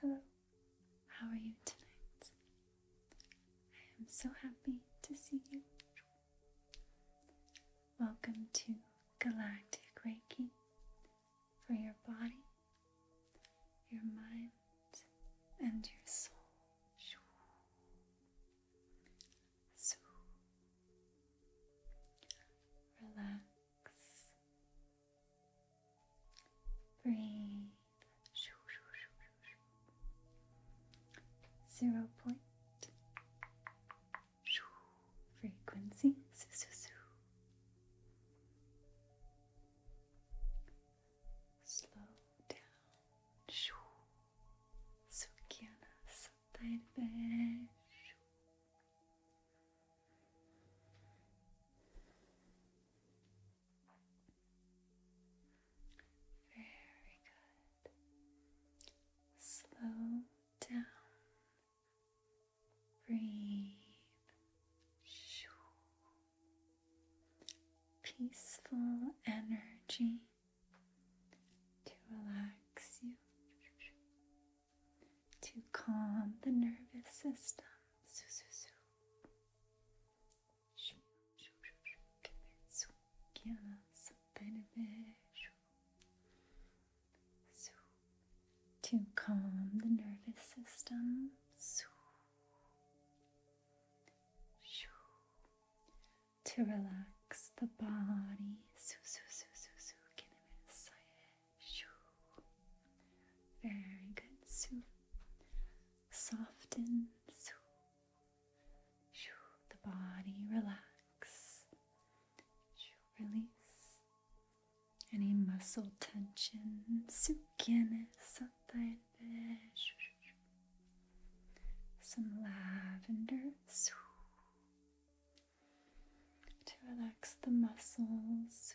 Hello, how are you tonight? I am so happy to see you. Welcome to Galactic Reiki for your body, your mind, and your soul. So relax. Breathe. Zero point frequency. Slow down. Sukiana sataybe. Very good. Slow down. Breathe. Peaceful energy to relax you, to calm the nervous system to calm the nervous system. To relax the body. So, so, so, so, very good. So soften. So the body relax. Release any muscle tension. Some lavender to relax the muscles.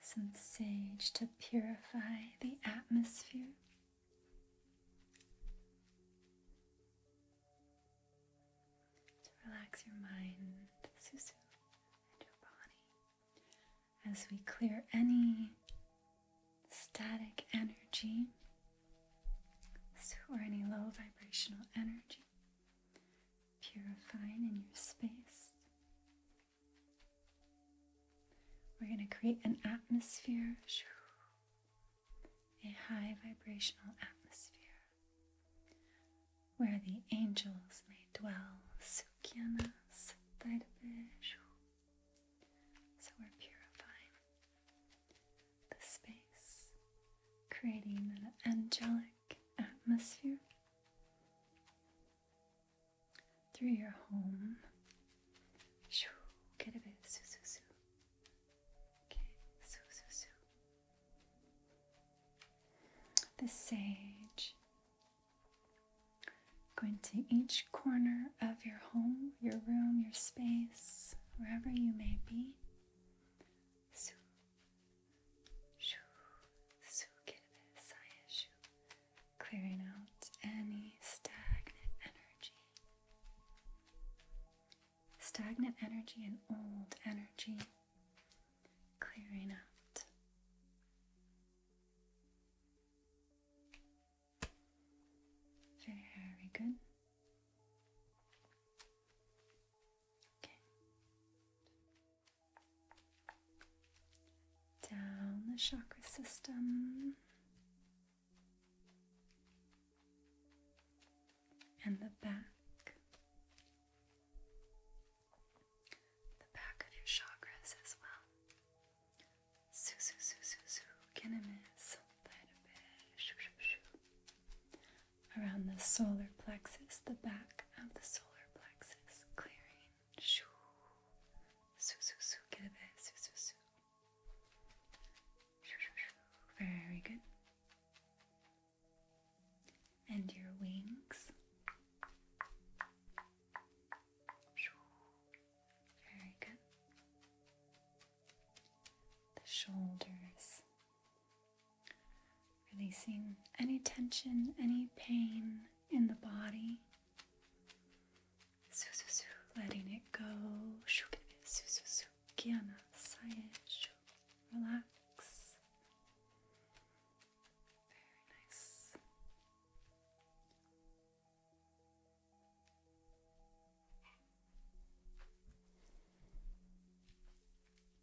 Some sage to purify the atmosphere. To relax your mind, Susu, and your body as we clear any static energy or any low vibrational energy purifying in your space. We're going to create an atmosphere, a high vibrational atmosphere, where the angels may dwell. so we're purifying the space creating an angelic atmosphere through your home. get a bit. Okay, The sage. Going to each corner of your home, your room, your space, wherever you may be. Clearing out any stagnant energy. Stagnant energy and old energy. Clearing out. Very good. Down the chakra system. And the back. The back of your chakras as well. Su su around the solar plexus, the back of the solar plexus, clearing. Very good. And your wings. Very good. The shoulders. Releasing any tension, any pain in the body. Letting it go. Relax. Very nice.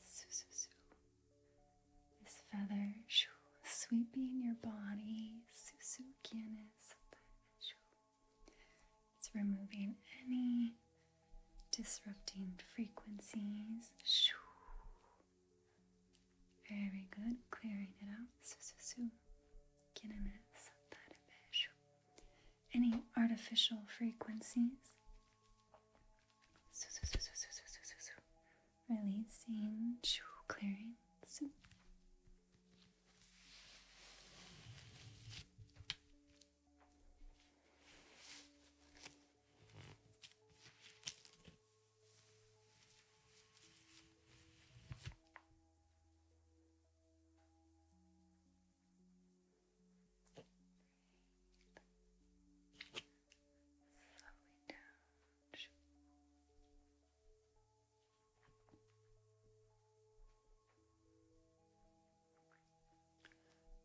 Zoo, This feather shoo, sweeping your body. Susu It's removing any disrupting frequencies. Very good. Clearing it out. Any artificial frequencies? Su su su Releasing. Clearing.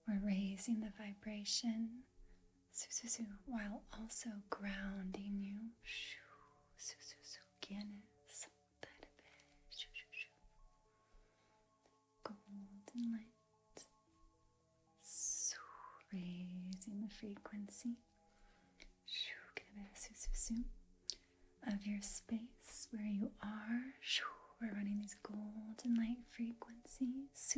We're raising the vibration while also grounding you. Golden light, raising the frequency of your space where you are. We're running these golden light frequencies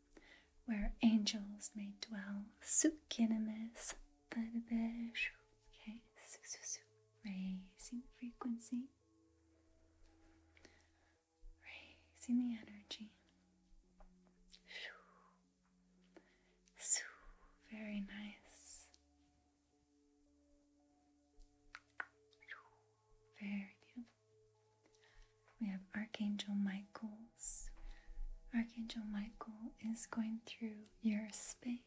where angels may dwell. Sukinimus, Badabish. Okay, raising frequency, raising the energy. Very nice. Very beautiful. We have Archangel Michael's. Archangel Michael is going through your space.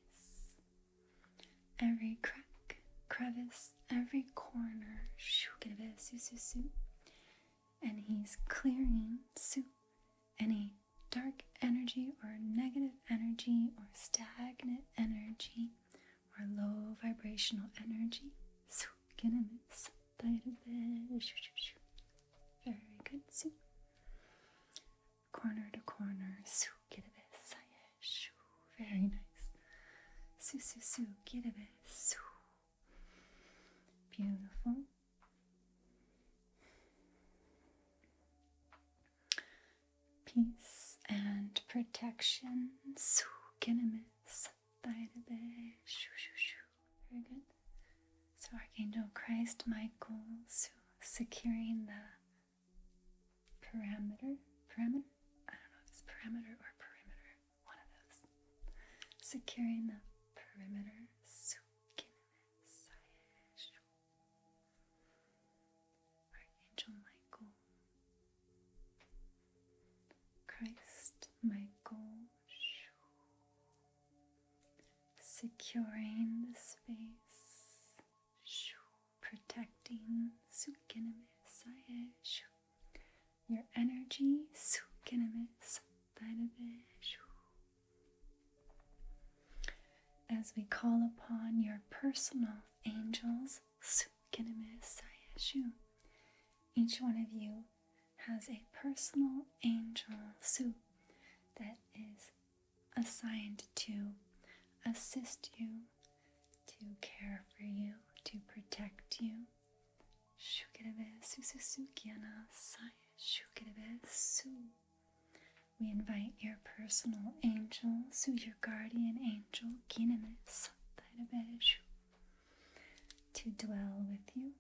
Every crack, crevice, every corner, and he's clearing any dark energy or negative energy or stagnant energy or low vibrational energy bite of it. Very good. So, corner to corner. So, kirebe sayesh. Very nice. Su su su kirebe su. Beautiful. Peace and protection. Su kinemis by the Shoo, shoo, shoo. Very good. So Archangel Christ, Michael, securing the parameter, parameter. I don't know if it's parameter or perimeter. One of those. Securing the perimeter. So Archangel Michael, Christ my goal, securing the space, protecting your energy, as we call upon your personal angels, each one of you has a personal angel suit that is assigned to assist you, to care for you, to protect you. kiana We invite your personal angel, suit your guardian angel, to dwell with you,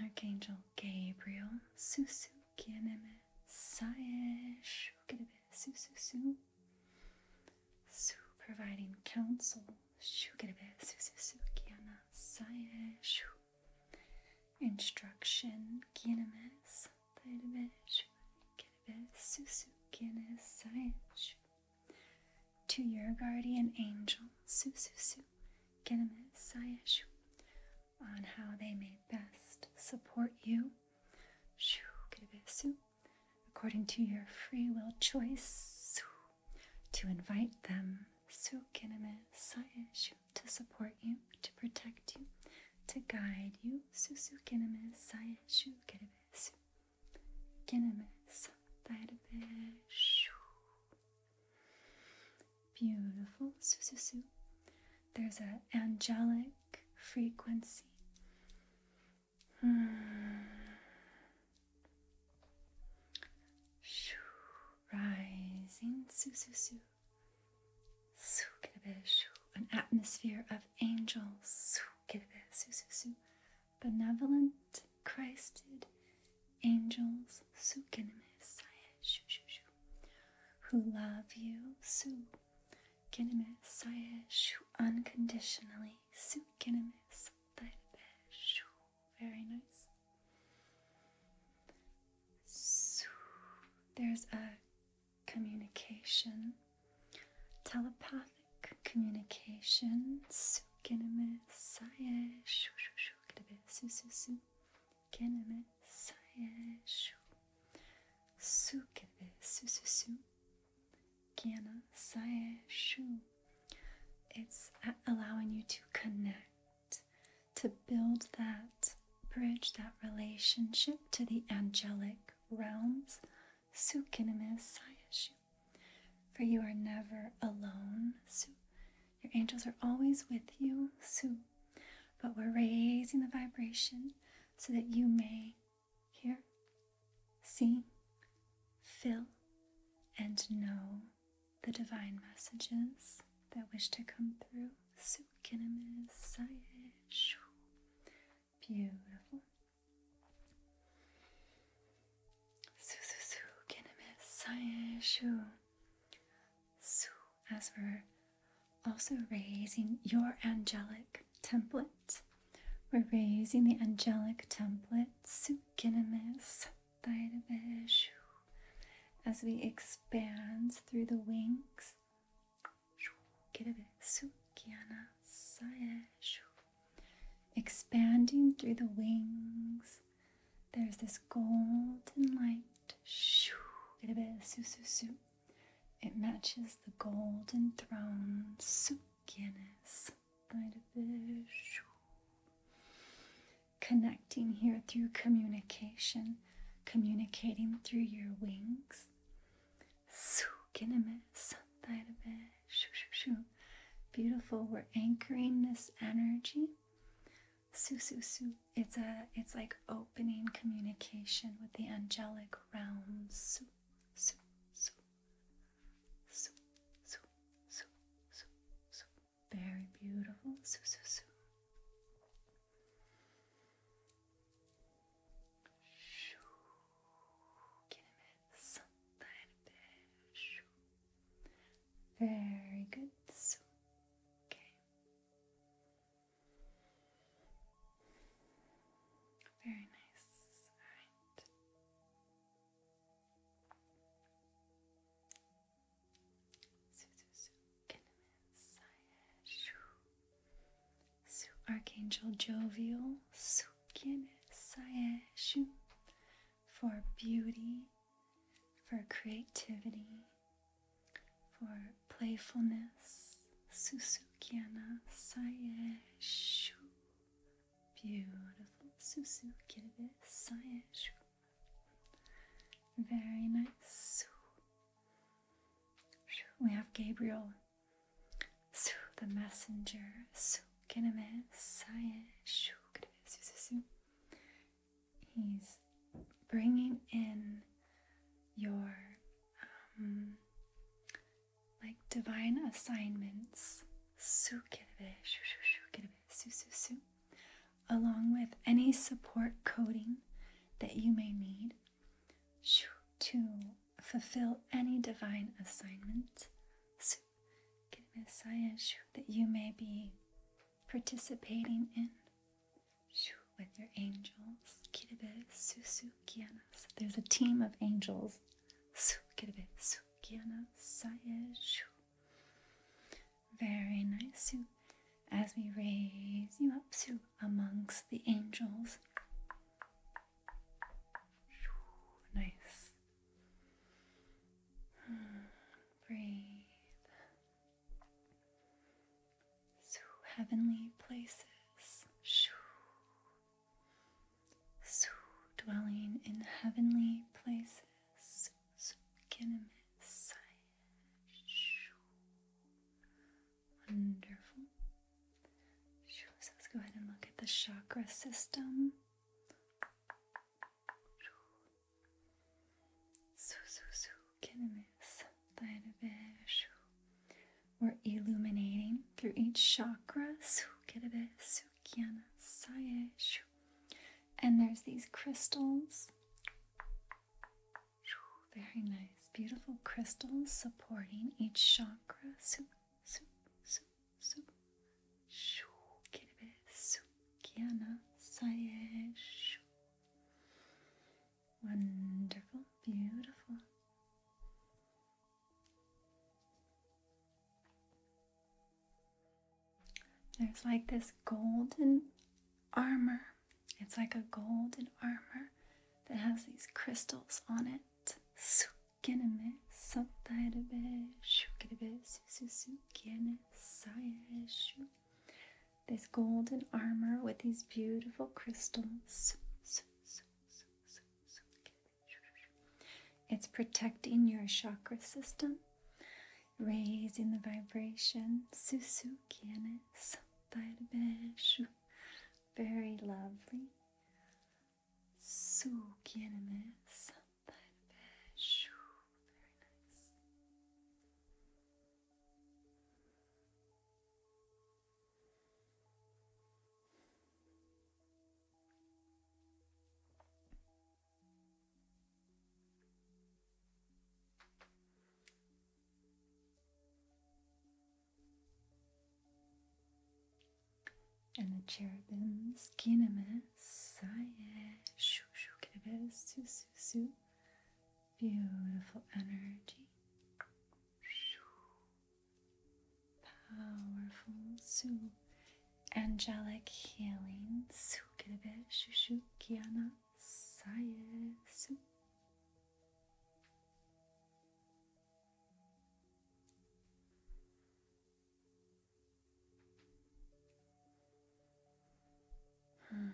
Archangel Gabriel, Susu Kieneme Sae Shukerebe Sususu, Su providing counsel, Shukerebe Sususu Kiana Sae Shu, instruction Kieneme Sae Shu, Kerebe Susu Kiene Sae to your guardian angel, Sususu Kieneme Sae Shu on how they may best support you according to your free will choice to invite them to support you, to protect you, to guide you. Beautiful. Su, su, su. There's an angelic frequency. Hmm. Shoo, rising. Su, su, su. Su, An atmosphere of angels. Su, su, su, su. Benevolent, Christed angels. Su, shoo, shoo, shoo who love you su ginimis who unconditionally su ginimis very nice su there's a communication telepathic communication su ginimis sayeshu su su su kelime sayeshu sukeve sususu kiana sayeshu it's allowing you to connect to build that bridge that relationship to the angelic realms sukinime sayeshu for you are never alone su your angels are always with you su but we're raising the vibration so that you may hear, see, feel, and know the divine messages that wish to come through. Beautiful. Su, as we're also raising your angelic template, we're raising the angelic template, Sukinimis, Thaidabishu, as we expand through the wings. Expanding through the wings, there's this golden light Shoo. Get su su su. It matches the golden throne Sukyanis. Right a Shoo. Connecting here through communication, communicating through your wings. Sukinimis. Right a Shoo shoo shoo. Beautiful. We're anchoring this energy Su It's a it's like opening communication with the angelic realms. Su Very beautiful. Su su su. Very good. okay. Very nice. All right. Archangel Jovial Sukin Sayeshu for beauty, for creativity, for playfulness, Susukiana Saye Beautiful Susu Kirbe Very nice. We have Gabriel, su the messenger, Kineme Saye Shu Kirbe Susu. He's bringing in your um, like divine assignments along with any support coding that you may need to fulfill any divine assignments that you may be participating in with your angels. Kirebe susu kianas. There's a team of angels. Su kirebe su kiana sayeju. Very nice, As we raise you up, Su, amongst the angels. Nice. Hmm, breathe. So heavenly places, so dwelling in heavenly places, Sukinamisai, shoo, wonderful. so let's go ahead and look at the chakra system. Suzuzu Kinimits Dainabesu. We're illuminating through each chakra. And there's these crystals. Very nice, beautiful crystals supporting each chakra. Wonderful, beautiful. There's like this golden armor. It's like a golden armor that has these crystals on it. Sukene satarabe shukirebe susukene saye this golden armor with these beautiful crystals. It's protecting your chakra system, raising the vibration. Susu Very lovely. Su Very nice. And the cherubims, kinamess, saye, shoo, shoo, kinamess, su, su, su, Beautiful energy. Powerful, su, angelic healing. Su kirebe shushu kiana saye su. Hmm.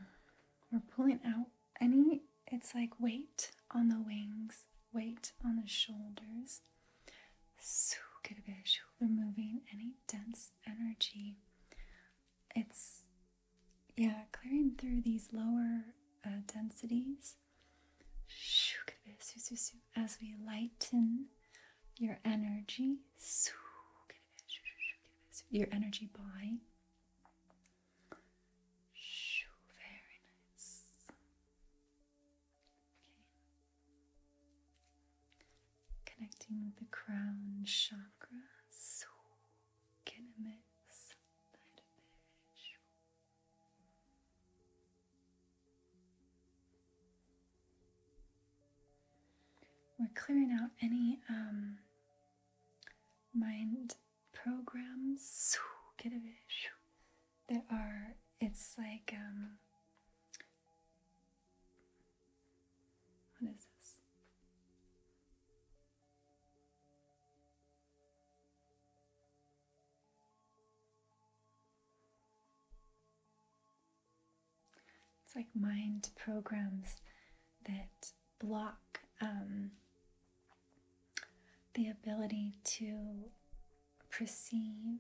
We're pulling out any, it's like weight on the wings, weight on the shoulders. Removing any dense energy. It's, yeah, clearing through these lower uh, densities. As we lighten your energy, your energy body very nice. Okay. Connecting the crown chakra. We're clearing out any um, mind programs that are, it's like, um, what is this? It's like mind programs that block um, the ability to perceive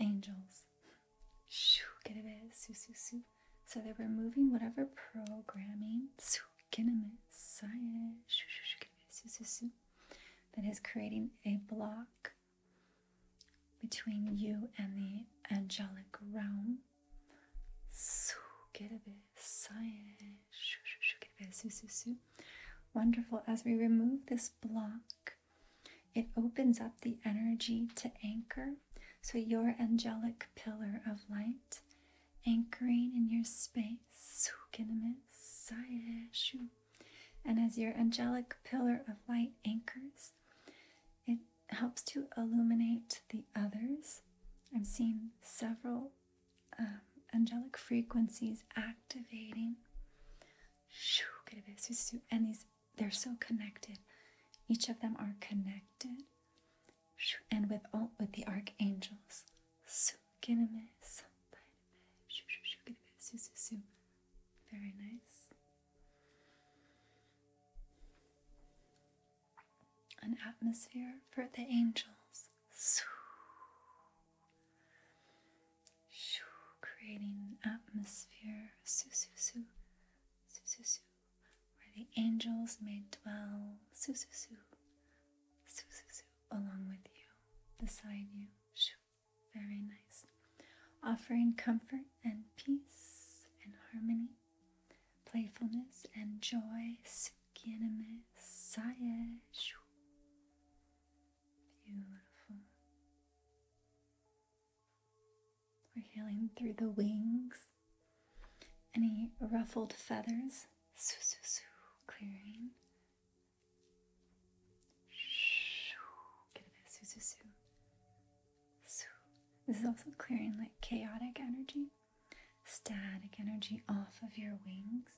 angels. Shoo, eh? So they're removing whatever programming science. Eh? Eh? that is creating a block between you and the angelic realm. Su, su, su. Wonderful. As we remove this block, it opens up the energy to anchor. So, your angelic pillar of light anchoring in your space. And as your angelic pillar of light anchors, it helps to illuminate the others I've seen several um, angelic frequencies activating. And these, they're so connected. Each of them are connected. And with all, with the archangels. Very nice an atmosphere for the angels. Creating an atmosphere where the angels may dwell along with you, beside you. Very nice. Offering comfort and peace and harmony playfulness and joy. Beautiful. We're healing through the wings. Any ruffled feathers, clearing. This is also clearing like chaotic energy static energy off of your wings.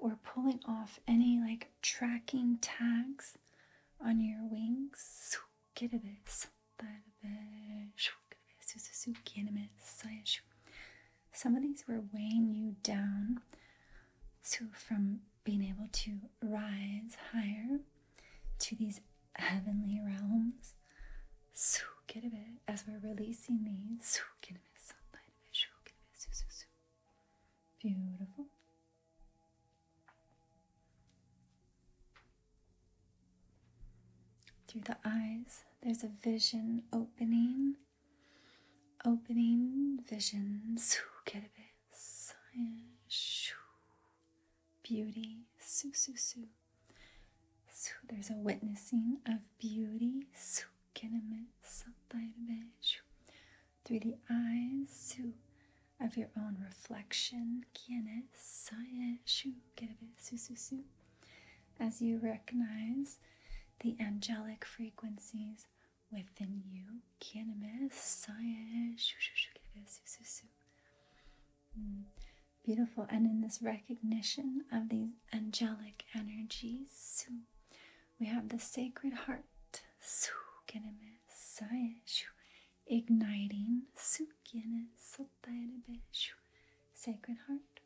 Or pulling off any like tracking tags on your wings. Some of these were weighing you down. So, from being able to rise higher to these heavenly realms, so a bit as we're releasing these, a bit, beautiful. Through the eyes, there's a vision opening, opening vision, get a bit. Science. Beauty. Su, su, su. su. There's a witnessing of beauty. Su. Through the eyes su, of your own reflection. As you recognize the angelic frequencies within you kendime saye mm. Beautiful, and in this recognition of these angelic energies, we have the Sacred Heart, su igniting su Sacred Heart,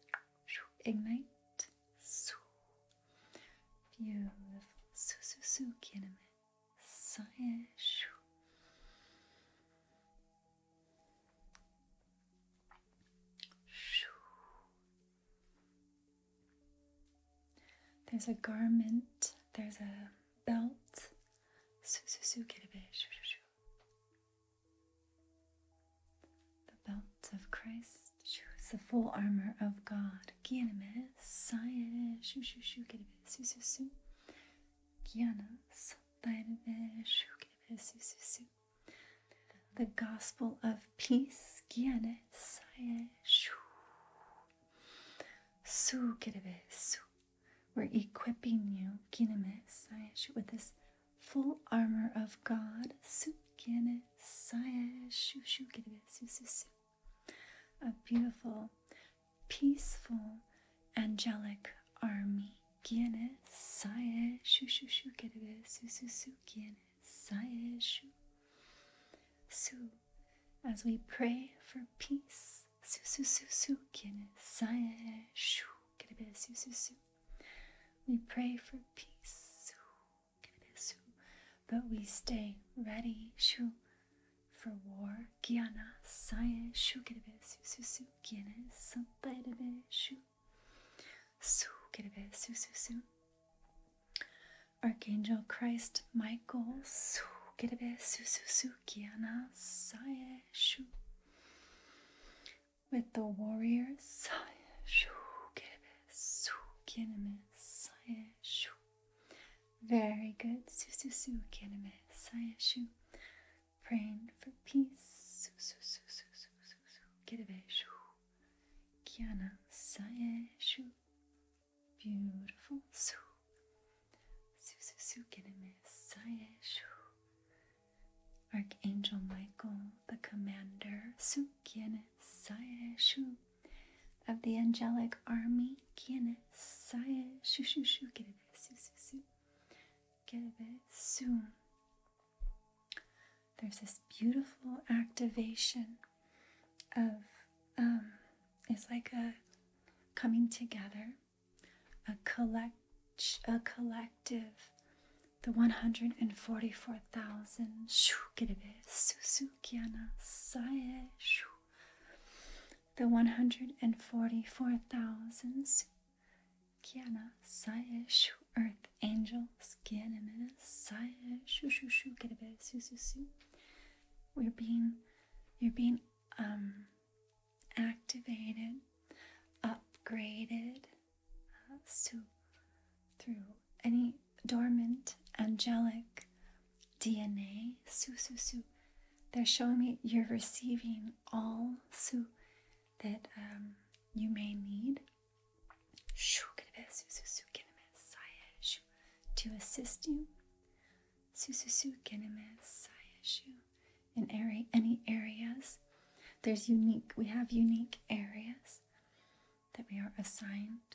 ignite su. Beautiful, su Sonhas. There's a garment, there's a belt. The belt of Christ, the full armor of God gelmez şu şu şu gelmez su su su gelmez dayanır şu gelmez su su su The Gospel of Peace gelmez şu su gelmez su We're equipping you gelmez şu with this full armor of God su gelmez şu şu gelmez su su su a beautiful, peaceful, angelic army. Quién es? Sae shu shu shu kerebe su As we pray for peace, su su su su. Quién We pray for peace, su but we stay ready shu for war gyana sae shu su su gyana sabe shu su su su su Archangel Christ Michael su su su su gyana sae shu with the warriors sae shu su gyana sae shu very good. Sususu kineme sayashu. Praying for peace. Sususususususu kineme shu. Kiana sayashu. Beautiful. Su. Sususu kineme sayashu. Archangel Michael, the commander. Su kiene saya shu of the angelic army kiene saya shu shu shu kerebe su su su kerebe su there's this beautiful activation of um, it's like a coming together a collect a collective the 144,000 shukiana saye shu the 144,000 Kiana Saya Shu Earth Angels Kiana Saya Shu Shu Shu Get a bit Su Su Su. We're being, you're being um, activated, upgraded. Uh, so through any dormant angelic DNA, su su su. They're showing me you're receiving all su that um, you may need. Shoo, su su su to assist you. Su su su in area, any areas. There's unique, we have unique areas that we are assigned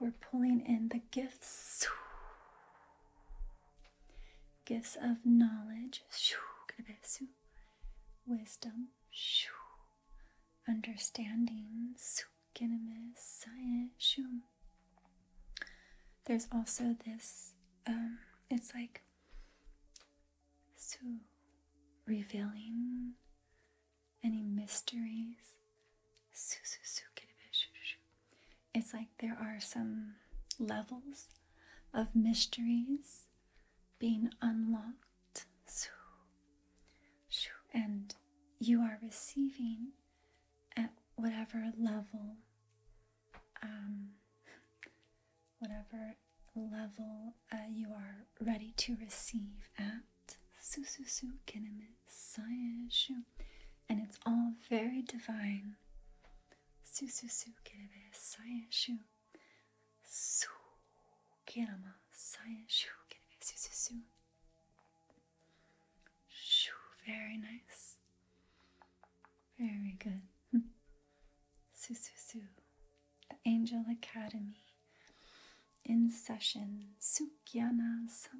We're pulling in the gifts. Gifts of knowledge, wisdom, understanding, science. There's also this, um, it's like revealing any mysteries it's like there are some levels of mysteries being unlocked. And you are receiving at whatever level, um, whatever level uh, you are ready to receive at. Sususu saishu. And it's all very divine. Su su su kerebe saishu. Su kerama it kerebe su su su. Shoo, very nice. Very good. su su su. The Angel Academy in session. su sa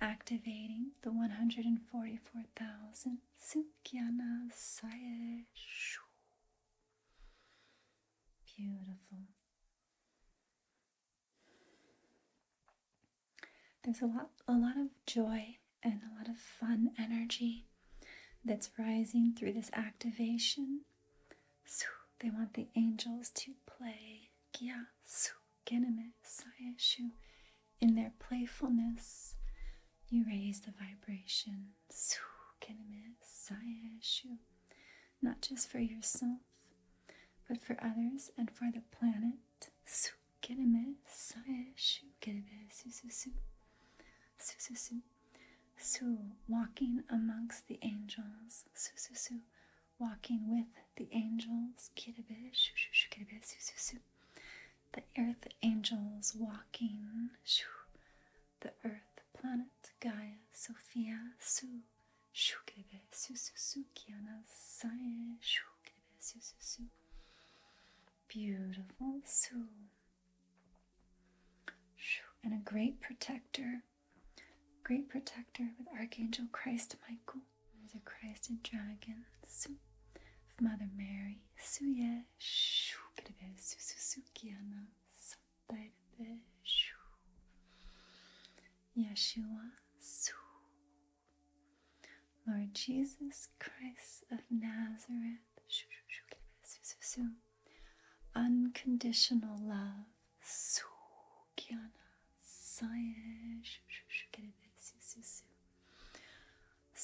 activating the 144,000 Sukyana Saye. Beautiful. There's a lot, a lot of joy and a lot of fun energy that's rising through this activation. They want the angels to play. Ginimis, who in their playfulness you raise the vibration. Not just for yourself, but for others and for the planet. su su su su su su Walking amongst the angels. Su su su walking with the angels, the earth angels walking, the earth planet Gaia, Sophia, Su, Kiana, su. beautiful Su, and a great protector, great protector with Archangel Christ Michael the Christ and Dragon, Su, Mother Mary, Suye, Shukrebe, eh? Sususukiana, Santarebe, Shu, Yeshua, Su. Lord Jesus Christ of Nazareth, Shu, Shu, Shu, eh? Shu, Shu, unconditional love, Su.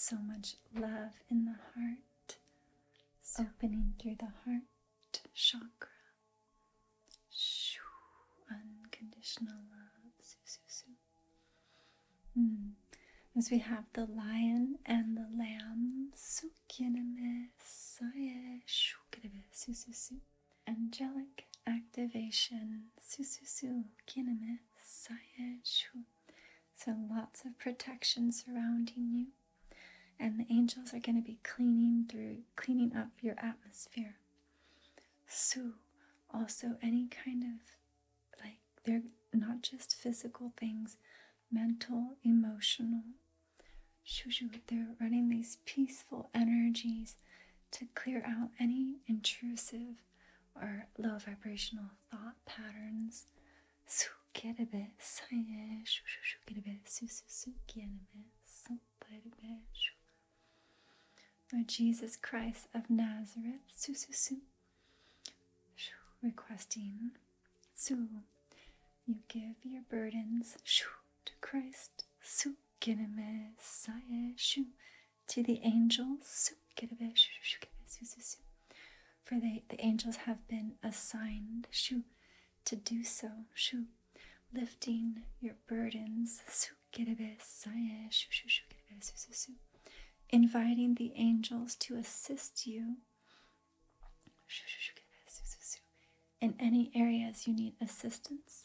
So much love in the heart, so. opening through the heart chakra. Unconditional love. Hmm. As we have the lion and the lamb angelic activation. Sususu kiname shu. So lots of protection surrounding you. And the angels are going to be cleaning through, cleaning up your atmosphere. Su, also any kind of like they're not just physical things, mental, emotional. Shu shu. they're running these peaceful energies to clear out any intrusive or low vibrational thought patterns. Lord Jesus Christ of Nazareth, requesting, you give your burdens to Christ. Su to the angels, for they, the angels have been assigned to do so, lifting your burdens, inviting the angels to assist you in any areas you need assistance.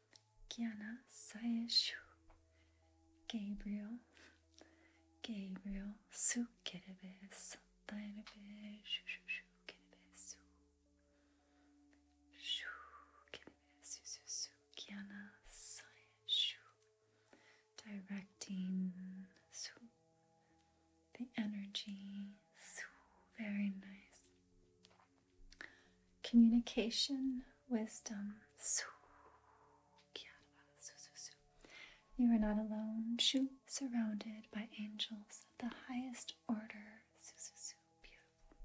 Kiana Sayeshu, Gabriel, Gabriel, Su Kerebe, Satarebe, Shu Shu Shu Kerebe, Su, Shu Kerebe, Su Su Su, Kiana Sayeshu, directing the energy, very nice communication, wisdom. You are not alone. You are Surrounded by angels of the highest order. Beautiful.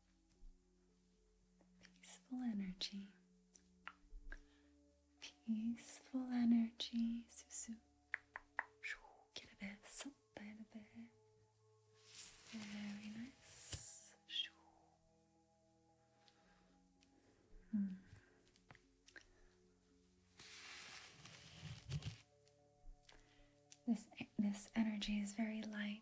Peaceful energy. Peaceful energy. Susu. Very nice. Hmm. This this energy is very light.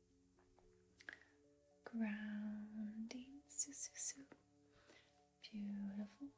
grounding. So, Beautiful.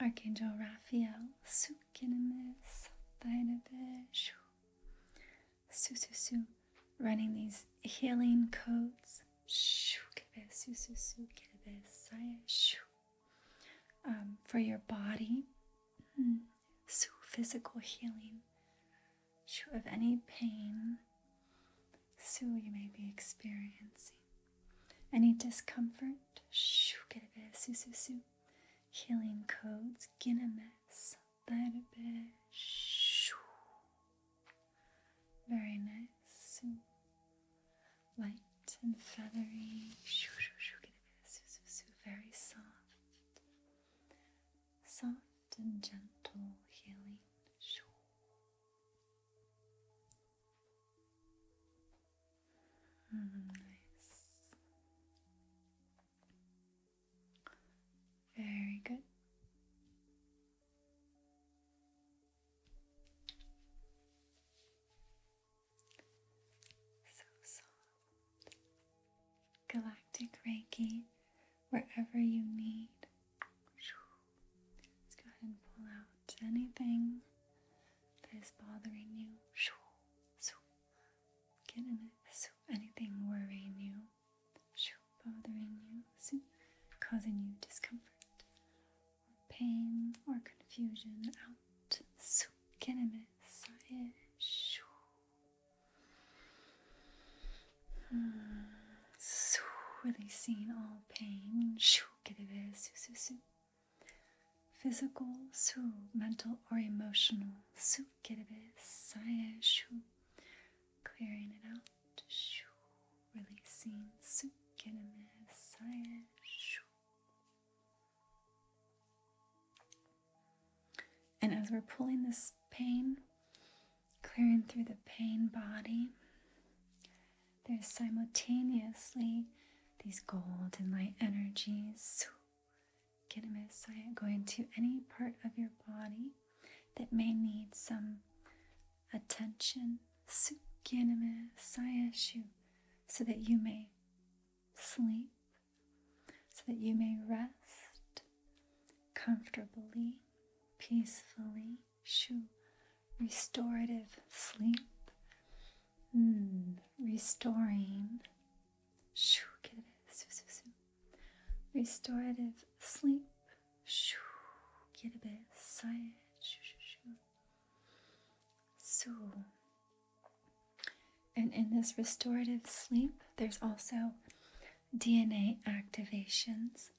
Archangel Raphael, Sukinimiz, Dainabish, su su su, running these healing codes. Shoo, kirebe, su su su, kirebe, saya, shoo. Um, for your body, mm. so physical healing shoo, of any pain so you may be experiencing, any discomfort, shoo, kirebe, su su su, healing codes, giname, Subtle bit. Very nice. Light and feathery. Very soft. Soft and gentle healing. Mm-hmm. nice. Very good. So soft. Galactic Reiki, wherever you need. Let's go ahead and pull out anything that is bothering you. Get in it. Anything worrying you bothering you, causing you discomfort or pain or confusion. Out, su geneme sae So Su releasing all pain. Shu geneme eh, su su su. Physical su, mental or emotional. Su geneme eh, sae eh, shu. Clearing it out releasing Sukiname Saya. And as we're pulling this pain, clearing through the pain body, there's simultaneously these golden light energies. Kinamesaya going to any part of your body that may need some attention so that you may sleep, so that you may rest comfortably, peacefully, shu, restorative sleep, mm, restoring, shu, Restorative sleep. Shoo, get a bit sigh. Shoo, shoo, shoo. So, and in this restorative sleep, there's also DNA activations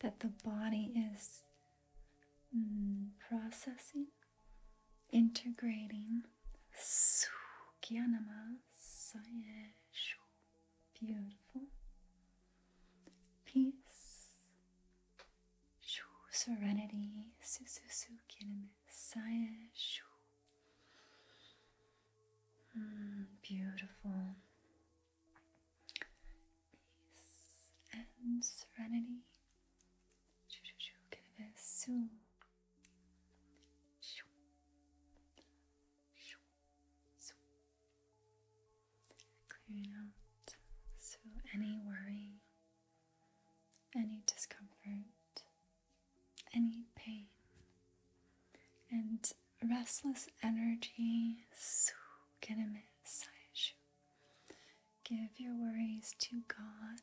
that the body is mm, processing integrating Sukyanama Sayeshu. Beautiful. Peace. Shu serenity. Sususukinama Sayeshu. Mm, beautiful. Peace and serenity. Shu shu shu. Kinava Su. Clearing out so any worry, any discomfort, any pain, and restless energy. So Give your worries to God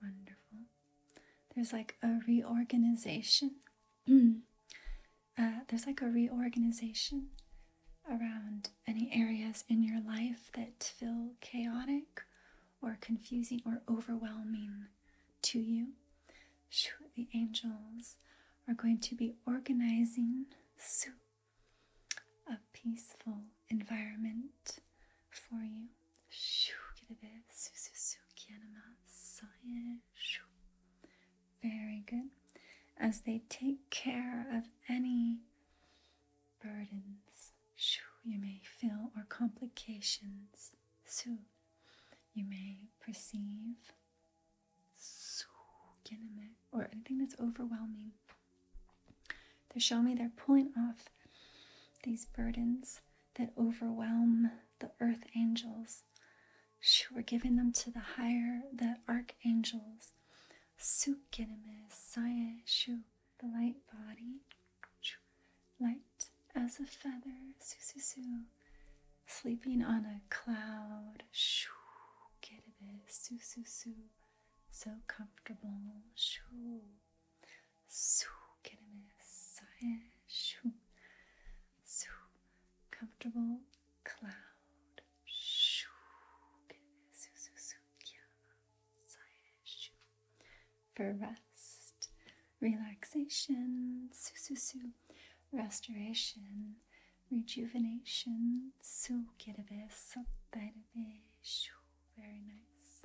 Wonderful. There's like a reorganization. Uh, there's like a reorganization around any areas in your life that feel chaotic or confusing or overwhelming to you. The angels are going to be organizing a peaceful environment for you. Very good. As they take care of any burdens you may feel or complications you may perceive or anything that's overwhelming. They're showing me they're pulling off these burdens that overwhelm the earth angels. We're giving them to the higher, the archangels. Shu, the light body, light as a feather, su su su, sleeping on a cloud, shu, su su su, so comfortable, shu. Soo, get a massage. Shoo. Soo, comfortable cloud. Shoo, get a soo, soo, soo, yeah. Shoo. For rest, relaxation. Soo, soo, soo. Restoration, rejuvenation. Soo, get a bit, Shoo, very nice.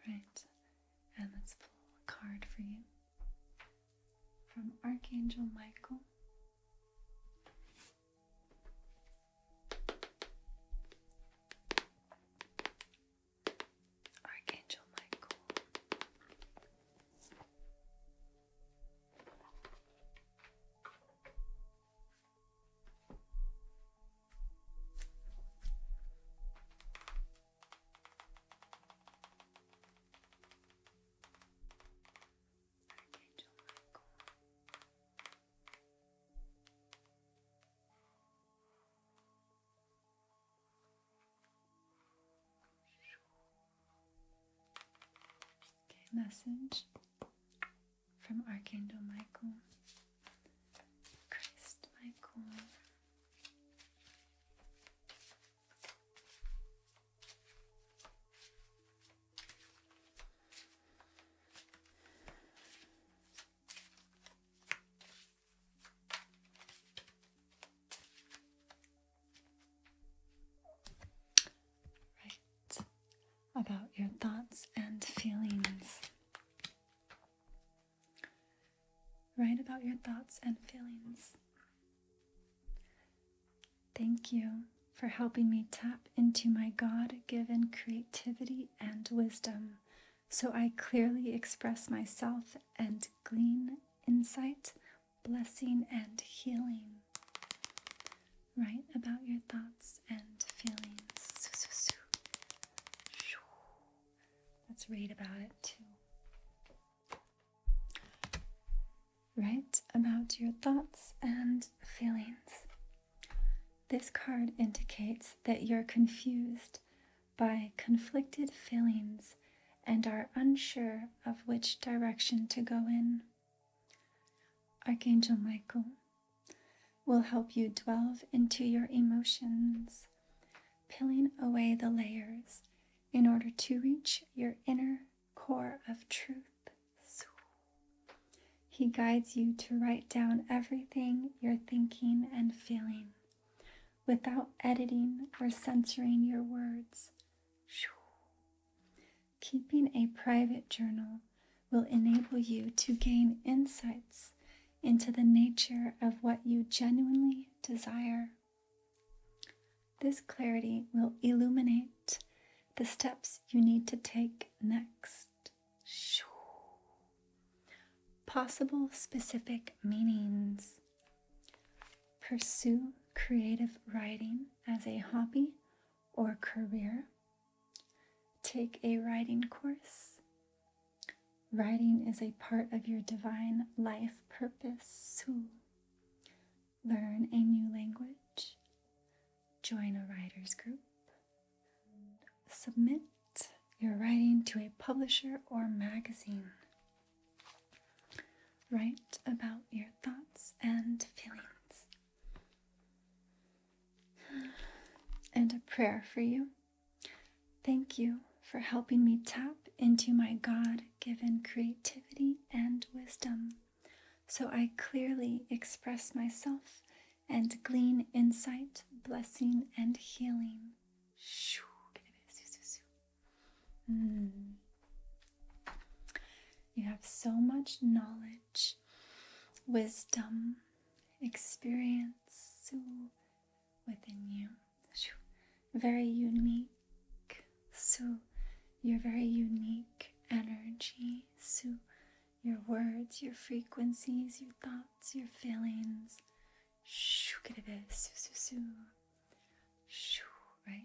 Alright, and let's pull a card for you from Archangel Michael. Archangel Michael. Archangel Michael. Shoo. Okay, message from Archangel Michael. Christ Michael. Right. About your thoughts and feelings. Write about your thoughts and feelings. Thank you for helping me tap into my God given creativity and wisdom so I clearly express myself and glean insight blessing and healing. Write about your thoughts and feelings. Let's read about it too. Write about your thoughts and feelings. This card indicates that you're confused by conflicted feelings and are unsure of which direction to go in. Archangel Michael will help you delve into your emotions, peeling away the layers in order to reach your inner core of truth. He guides you to write down everything you're thinking and feeling without editing or censoring your words. Keeping a private journal will enable you to gain insights into the nature of what you genuinely desire. This clarity will illuminate the steps you need to take next. Possible specific meanings. Pursue creative writing as a hobby or career, take a writing course. Writing is a part of your divine life purpose. learn a new language, join a writer's group, submit your writing to a publisher or magazine. Write about your thoughts and feelings. And a prayer for you. Thank you for helping me tap into my God given creativity and wisdom so I clearly express myself and glean insight, blessing, and healing. Mm. You have so much knowledge, wisdom, experience within you. Very unique. So, you're very unique energy. So, your words, your frequencies, your thoughts, your feelings. Eh? Right?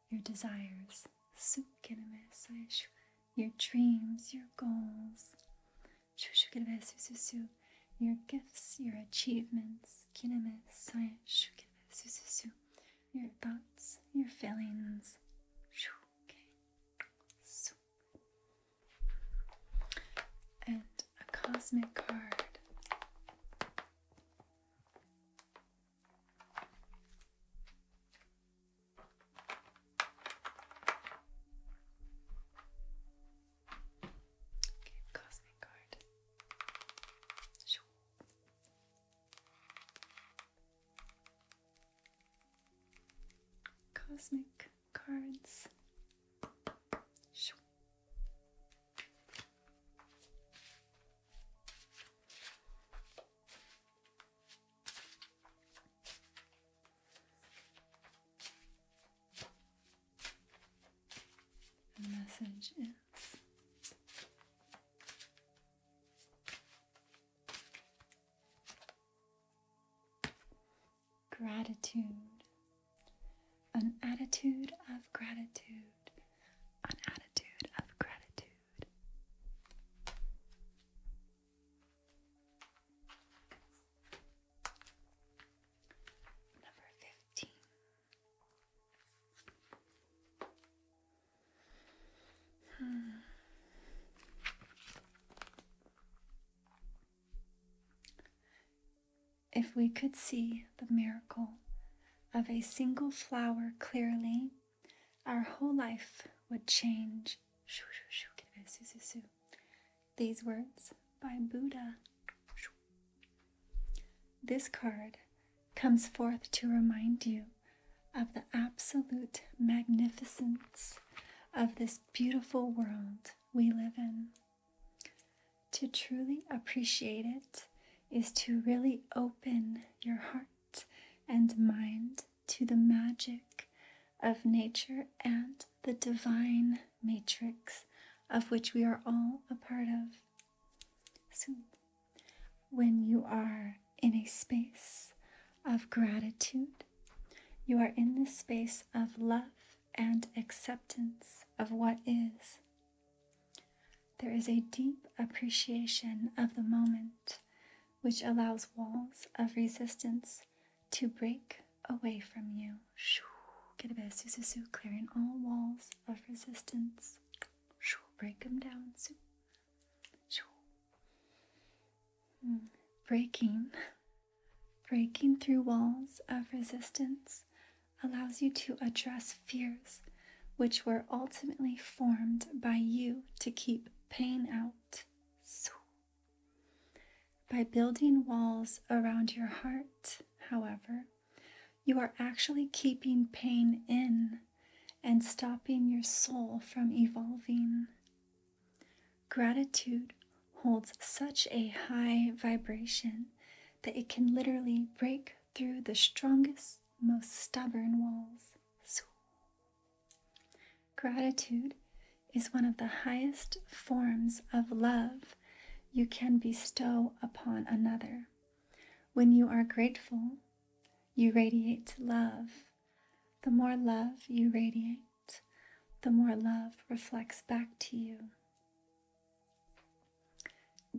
your desires, your dreams, your goals, your gifts, your achievements, your thoughts, your feelings. And a cosmic card cosmic card. Shoo. Cosmic cards. Shoo. The message is gratitude, an attitude of gratitude an attitude of gratitude. Number 15. Hmm. If we could see the miracle of a single flower clearly, our whole life would change. These words by Buddha. This card comes forth to remind you of the absolute magnificence of this beautiful world we live in. To truly appreciate it is to really open your heart and mind to the magic of nature and the divine matrix of which we are all a part of. So, when you are in a space of gratitude, you are in the space of love and acceptance of what is there is a deep appreciation of the moment which allows walls of resistance to break away from you. Get a bit su su, su, clearing all walls of resistance. Break them down. su. Hmm, breaking, breaking through walls of resistance allows you to address fears, which were ultimately formed by you to keep pain out. By building walls around your heart, however, you are actually keeping pain in and stopping your soul from evolving. Gratitude holds such a high vibration that it can literally break through the strongest most stubborn walls. Gratitude is one of the highest forms of love you can bestow upon another. When you are grateful, you radiate love. The more love you radiate, the more love reflects back to you.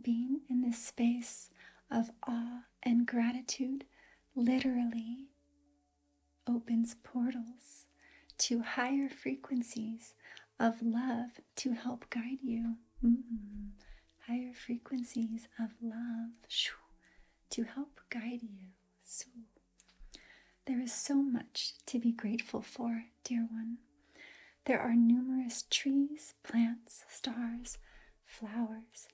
Being in this space of awe and gratitude literally opens portals to higher frequencies of love to help guide you. Mm-hmm. Higher frequencies of love to help guide you. So, there is so much to be grateful for, dear one. There are numerous trees, plants, stars, flowers,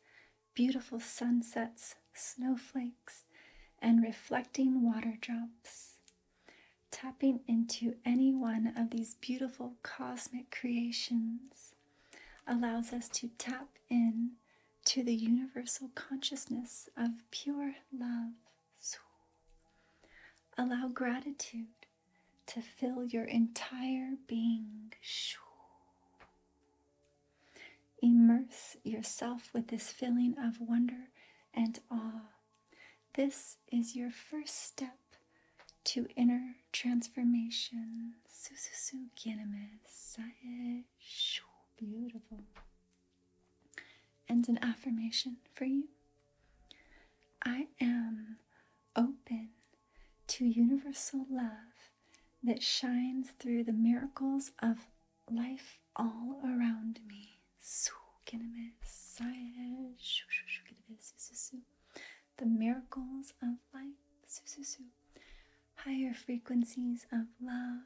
beautiful sunsets, snowflakes, and reflecting water drops. Tapping into any one of these beautiful cosmic creations allows us to tap in to the universal consciousness of pure love. Allow gratitude to fill your entire being. Immerse yourself with this feeling of wonder and awe. This is your first step to inner transformation. Sususu Beautiful. And an affirmation for you I am open to universal love that shines through the miracles of life all around me. The miracles of life, higher frequencies of love,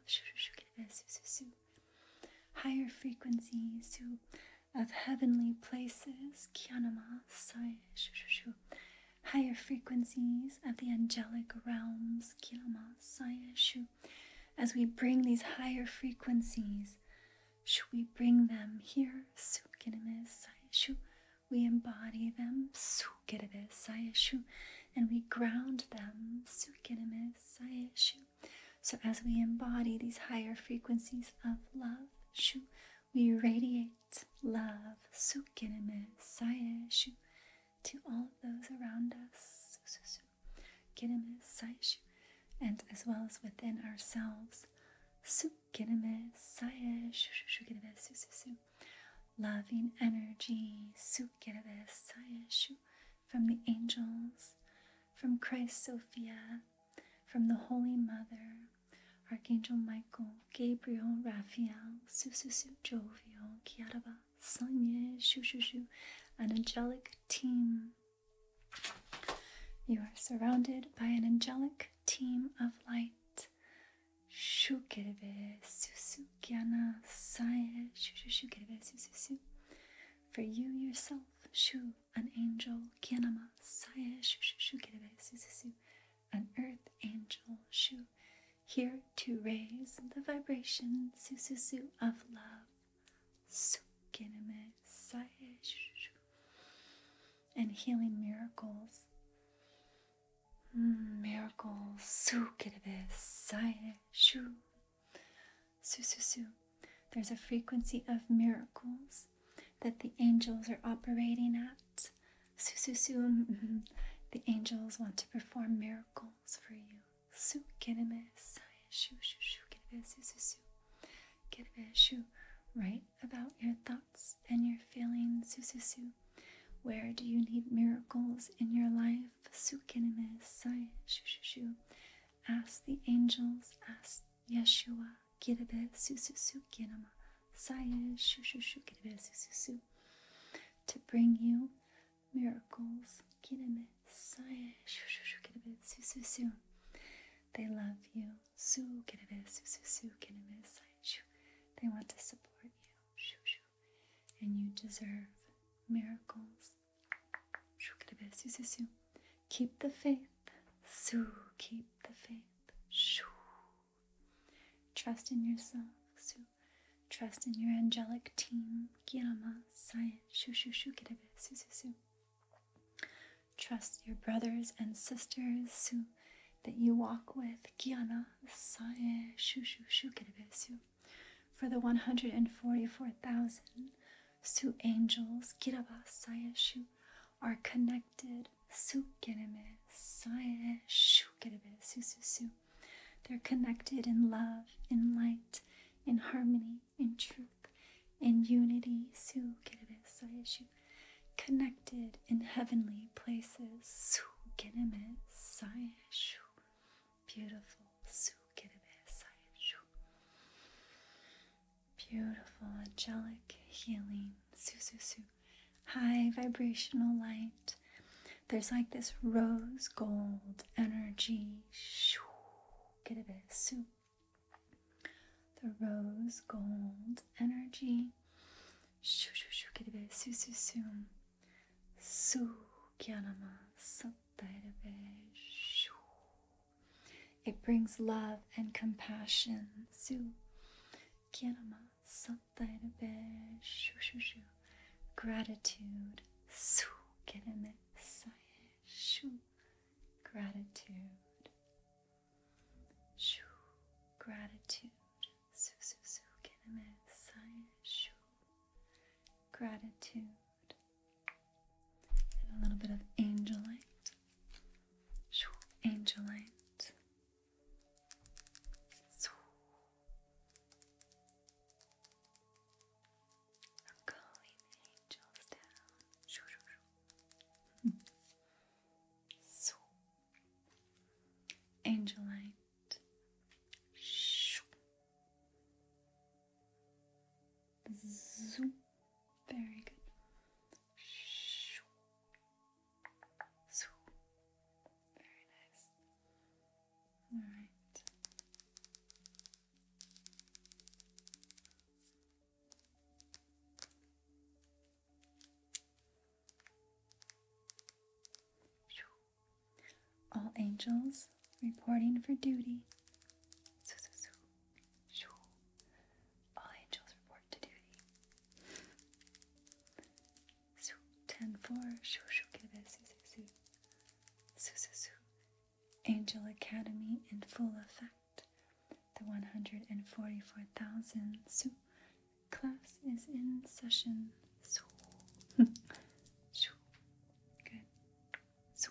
higher frequencies of heavenly places, higher frequencies of the angelic realms, as we bring these higher frequencies, we bring them here, we embody them, and we ground them. So, as we embody these higher frequencies of love, we radiate Love, love, sayeshu to all of those around us, sayeshu, and as well as within ourselves. sayeshu, Loving energy, sayeshu, from the angels, from Christ Sophia, from the Holy Mother, Archangel Michael, Gabriel, Raphael, Sususu, Jovial, Kiaraba, Sunye, Shushushu, an angelic team. You are surrounded by an angelic team of light. Shukerebe, Susu, Gyana, Saye, Shushukerebe, Sususu. For you yourself, Shu, an angel, Kyanama, Saye, Shushukerebe, Sususu an earth angel shoo, here to raise the vibration su su su of love. And healing miracles. Miracles. Su su su. There's a frequency of miracles that the angels are operating at. Sususu, mm, mm. the angels want to perform miracles for you. Su shu shu shu Write about your thoughts and your feelings. Sususu. Where do you need miracles in your life? Su shu shu Ask the angels. Ask Yeshua. Get a Kirebe su su su kinama saya shu Get a bit, su su su to bring you miracles get a bit, kiname saya shu Get a bit, su su su they love you su kirebe su su su kiname saya shu they want to support you shu shu and you deserve miracles shu kirebe su su su keep the faith su keep the faith shoo Trust in yourself, Su. Trust in your angelic team, Kirama, Sai, Shushu, Shukirebe, Su, Su, Su. Trust your brothers and sisters, Su, that you walk with, Gyana, Sae, Shushu, Shukirebe, Su. For the 144,000 Su angels, Kiraba, Sae, Shu, are connected they're connected in love, in light, in harmony, in truth, in unity. Connected in heavenly places. Beautiful. Beautiful angelic healing. Su su su high vibrational light. There's like this rose gold energy. Get a bit soup. The rose gold energy. Get a bit su su su. Su it brings love and compassion. Su kyanama sat little bit. Shoo, shoo, shoo. Gratitude. Su kereme sae. Shoo. Gratitude. Shoo. Gratitude. Su, su, su kereme sae. Shoo. Gratitude. And a little bit of angelite. Shoo. Angelite. So calling angels down. so angel light. Shoo. Zoom. Very good. Shoo. All angels reporting for duty. All angels report to duty. Su ten four shoo shoo give it su su su su su. Angel Academy in full effect. The one hundred and forty four thousand su class is in session. Su shoo. Good. Su.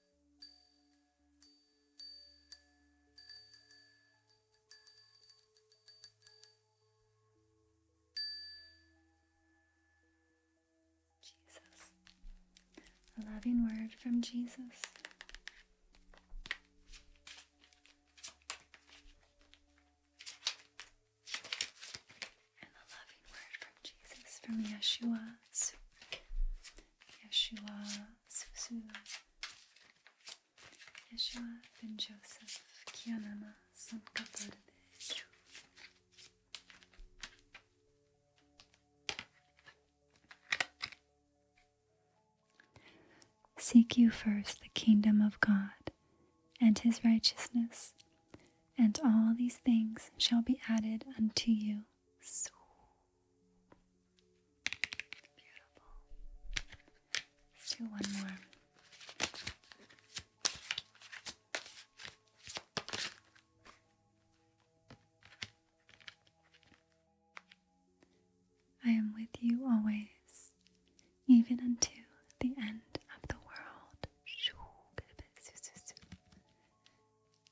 Jesus. A loving word from Jesus. And a loving word from Jesus, from Yeshua. Su. Yeshua Susu. Yeshua ben Joseph Kianama Sankaparade. Seek you first the kingdom of God and his righteousness, and all these things shall be added unto you. So beautiful. do one more. I am with you always, even unto the end of the world.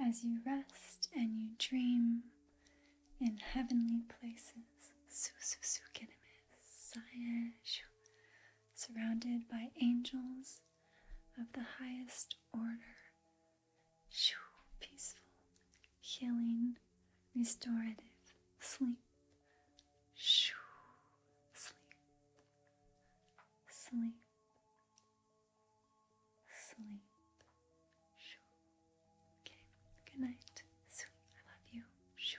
as you rest and you dream in heavenly places. Surrounded by angels of the highest order. Peaceful, healing, restorative sleep. Sleep. Sleep sleep. Okay, good night. Sweet, I love you. Shoo.